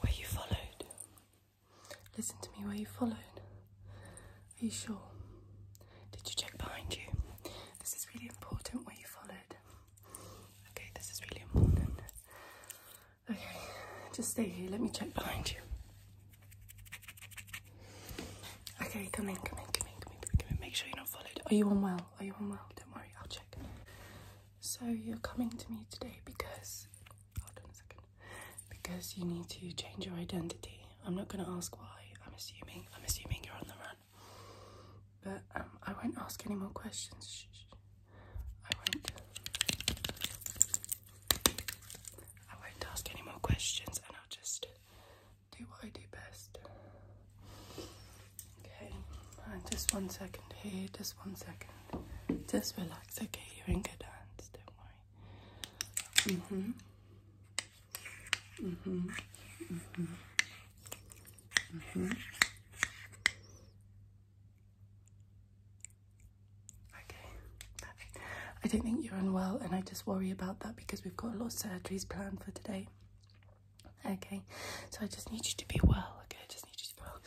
Where you followed? Listen to me, were you followed? Are you sure? Did you check behind you? This is really important, Where you followed? Okay, this is really important. Okay, just stay here, let me check behind you. Okay, come in, come in, come in, come in, come in, come in. Make sure you're not followed. Are you unwell? Are you unwell? Don't worry, I'll check. So you're coming to me today because hold on a second. Because you need to change your identity. I'm not gonna ask why. I'm assuming I'm assuming you're on the run. But um, I won't ask any more questions. I won't. I won't ask any more questions, and I'll just do what I do best. Okay, just one second here, just one second. Just relax, okay? You're in good hands, don't worry. Mm-hmm. Mm-hmm. Mm-hmm. Mm-hmm. Okay, I don't think you're unwell, and I just worry about that because we've got a lot of surgeries planned for today. Okay, so I just need you to be well, okay? I just need you to be well.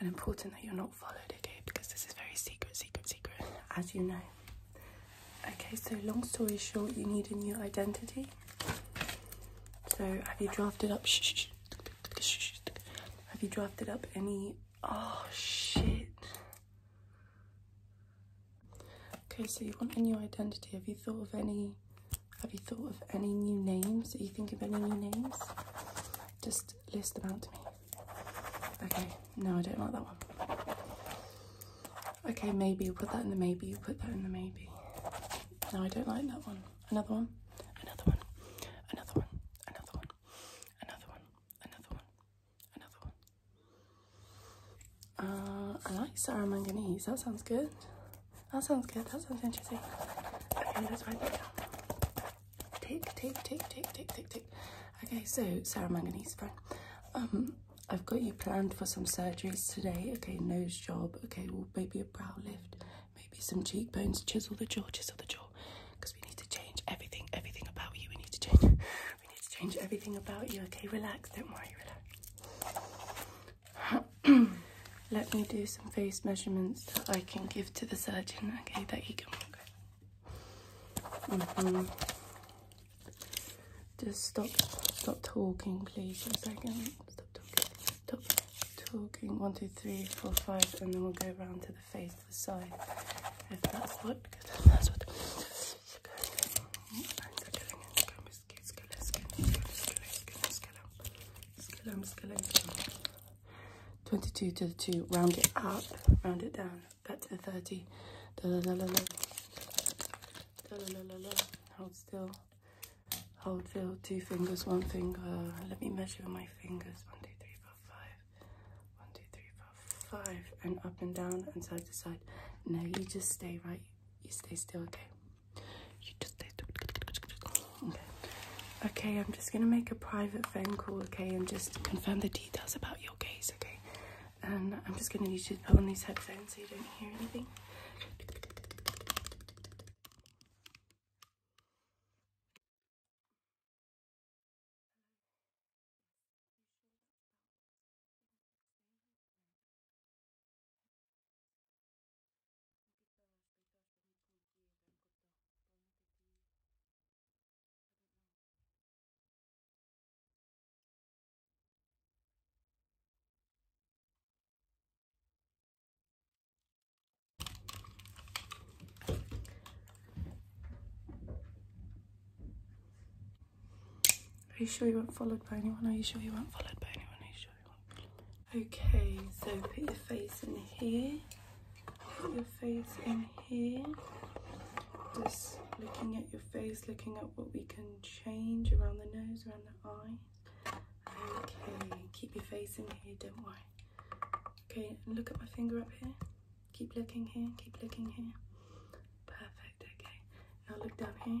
And important that you're not followed, okay? Because this is very secret, secret, secret, as you know. Okay, so long story short, you need a new identity. So have you drafted up? Shh, have you drafted up any? Oh shit. Okay, so you want a new identity. Have you thought of any have you thought of any new names? Are you thinking of any new names? Just list them out to me. Okay, no, I don't like that one. Okay, maybe you put that in the maybe, you put that in the maybe. No, I don't like that one. Another one, another one, another one, another one, another one, another one, another one. Uh, I like Sarah Manganese, that sounds good. That sounds good. That sounds interesting. Okay, let's write that down. Tick, tick, tick, tick, tick, tick, tick. Okay, so Sarah Manganese, fine. Um, I've got you planned for some surgeries today. Okay, nose job. Okay, well, maybe a brow lift, maybe some cheekbones, chisel the jaw, chisel the jaw. Because we need to change everything, everything about you. We need to change, we need to change everything about you. Okay, relax. Don't worry, relax. Let me do some face measurements that I can give to the surgeon, okay, that you can mm-hmm. Just stop, stop talking, please, for a second. Stop talking, One, two, three, four, five, and then we'll go around to the face, the side, if that's what, that's what skelem, 22 to the 2, round it up, round it down, back to the 30. Hold still. Hold still. Two fingers, one finger. Let me measure my fingers. One, two, three, four, five. One, two, three, four, five. And up and down and side to side. Now you just stay right. You stay still, okay? okay. okay, I'm just gonna make a private phone call, okay, and just confirm the details about your case, okay? And I'm just gonna need you to put on these headphones so you don't hear anything. Are you sure you weren't followed by anyone? Are you sure you weren't followed by anyone? Okay, so put your face in here. Put your face in here. Just looking at your face, looking at what we can change around the nose, around the eye. Okay, keep your face in here, don't worry. Okay, look at my finger up here. Keep looking here, keep looking here. Perfect, okay. Now look down here.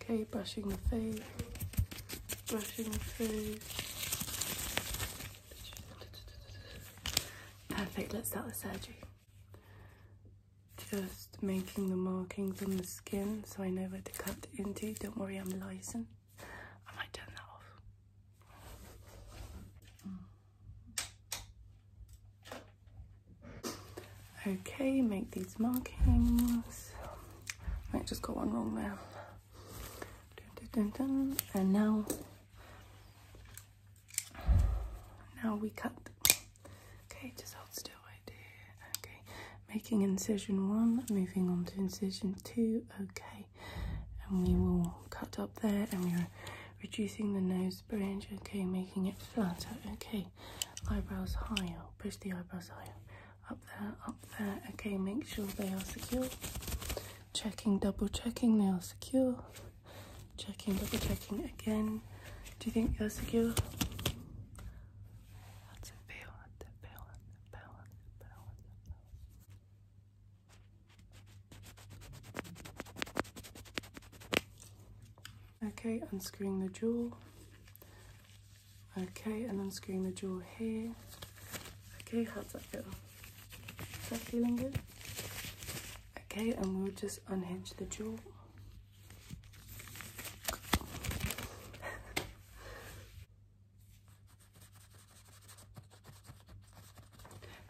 Okay, brushing the face, brushing the face. Perfect, let's start the surgery. Just making the markings on the skin so I know where to cut into. Don't worry, I'm licensed. I might turn that off. Okay, make these markings. I just got one wrong there. and now, now we cut. Okay, just hold still right Okay, making incision one, moving on to incision two. Okay, and we will cut up there and we're reducing the nose bridge. Okay, making it flatter. Okay, eyebrows higher, push the eyebrows higher up there, up there. Okay, make sure they are secure. Checking, double checking, they are secure. Checking, double checking again. Do you think they are secure? Okay, unscrewing the jewel. Okay, and unscrewing the jaw here. Okay, how's that feel? Is that feeling good? Okay, and we'll just unhinge the jaw.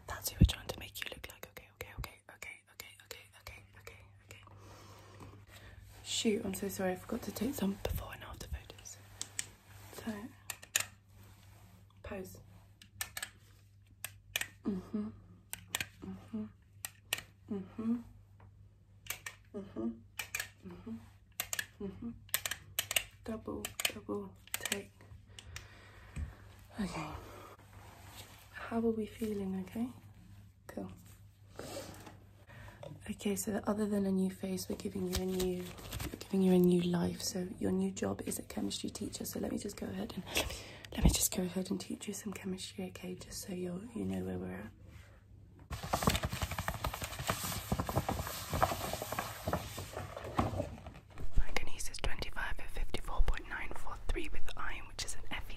That's who we're trying to make you look like. Okay, okay, okay, okay, okay, okay, okay, okay. Shoot, I'm so sorry. I forgot to take some before and after photos. So, pose. Mm-hmm. Mm-hmm. Mm-hmm. Mm-hmm. Mm-hmm. Mm-hmm. Double, double, take. Okay. How are we feeling, okay? Cool. Okay, so other than a new face, we're giving you a new giving you a new life. So your new job is a chemistry teacher. So let me just go ahead and let me, just go ahead and teach you some chemistry, okay? Just so you you know where we're at. Manganese is 25 at 54.943 with iron, which is an Fe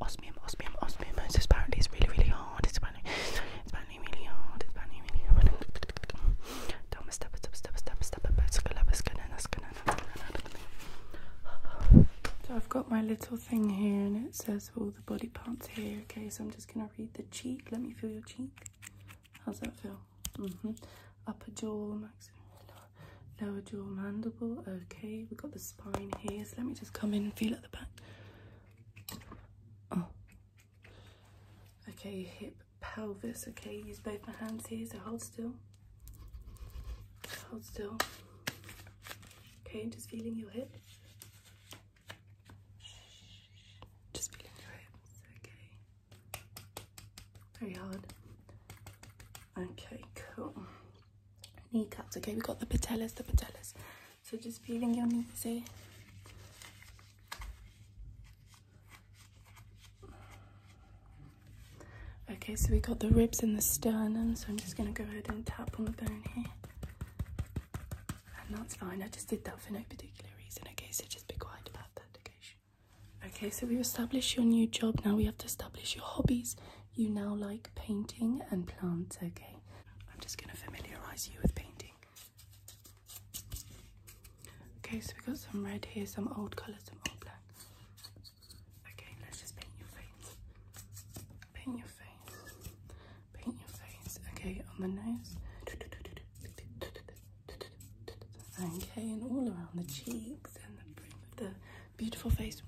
osmium, osmium, osmium. It's apparently it's really, really hard. It's apparently, it's apparently really hard. It's apparently really hard. So I've got my little thing here, and it says all the body parts here. Okay, so I'm just gonna read the cheek. Let me feel your cheek. How's that feel? Mm-hmm. Upper jaw, max lower jaw mandible okay we've got the spine here so let me just come in and feel at the back oh okay hip pelvis okay use both my hands here so hold still hold still okay just feeling your hip just feeling your hips okay very hard okay cool kneecaps. Okay, we got the patellas, the patellas. So just feeling your knees, see? Eh? Okay, so we got the ribs and the sternum, so I'm just gonna go ahead and tap on the bone here. And that's fine, I just did that for no particular reason, okay, so just be quiet about that, okay? Okay, so we've established your new job, now we have to establish your hobbies, you now like painting and plants, okay? I'm just going to familiarize you with painting. Okay, so we've got some red here, some old colours, some old black. Okay, let's just paint your face. Paint your face. Paint your face. Okay, on the nose. Okay, and all around the cheeks and the beautiful face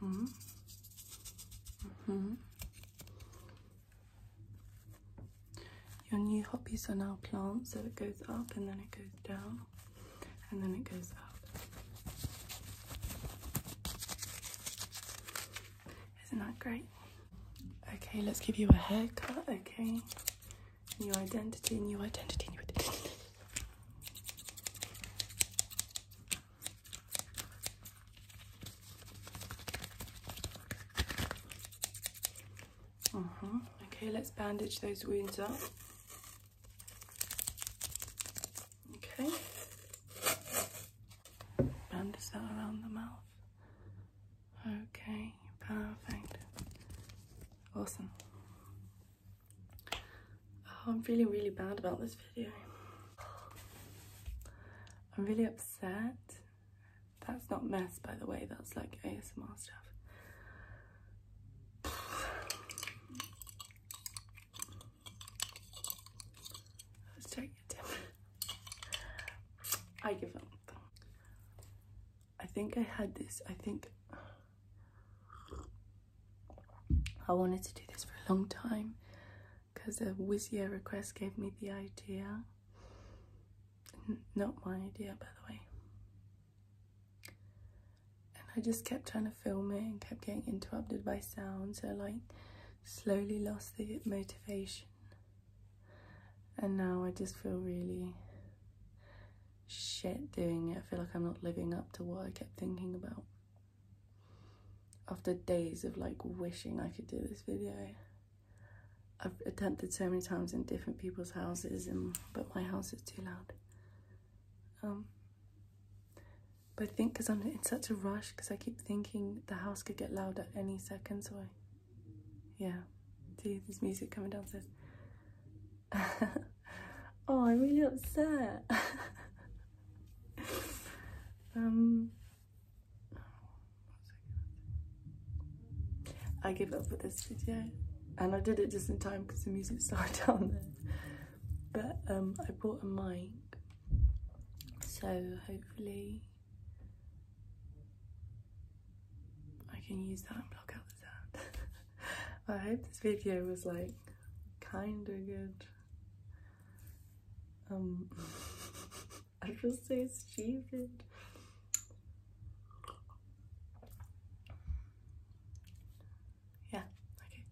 hmm hmm Your new hobbies are now plants, so it goes up and then it goes down and then it goes up. Isn't that great? Okay, let's give you a haircut, okay? New identity, new identity, new identity. Uh mm-hmm. -huh. Okay, let's bandage those wounds up. Okay. Bandage that around the mouth. Okay, perfect. Awesome. Oh, I'm feeling really bad about this video. I'm really upset. That's not mess, by the way, that's like ASMR stuff. Let's take YouTube. I give up. I think I had this. I think I wanted to do this for a long time because a Wizia request gave me the idea. not my idea, by the way. And I just kept trying to film it and kept getting interrupted by sounds. I like slowly lost the motivation and now I just feel really shit doing it. I feel like I'm not living up to what I kept thinking about. After days of like wishing I could do this video. I've attempted so many times in different people's houses and but my house is too loud. Um, but I think because I'm in such a rush because I keep thinking the house could get louder any second, so I. Yeah. See, there's music coming downstairs. oh, I'm really upset. um. I give up with this video and I did it just in time because the music started down there but um, I bought a mic so hopefully I can use that and block out the sound. I hope this video was like kinda good. Um, I feel say stupid. Yeah. Okay.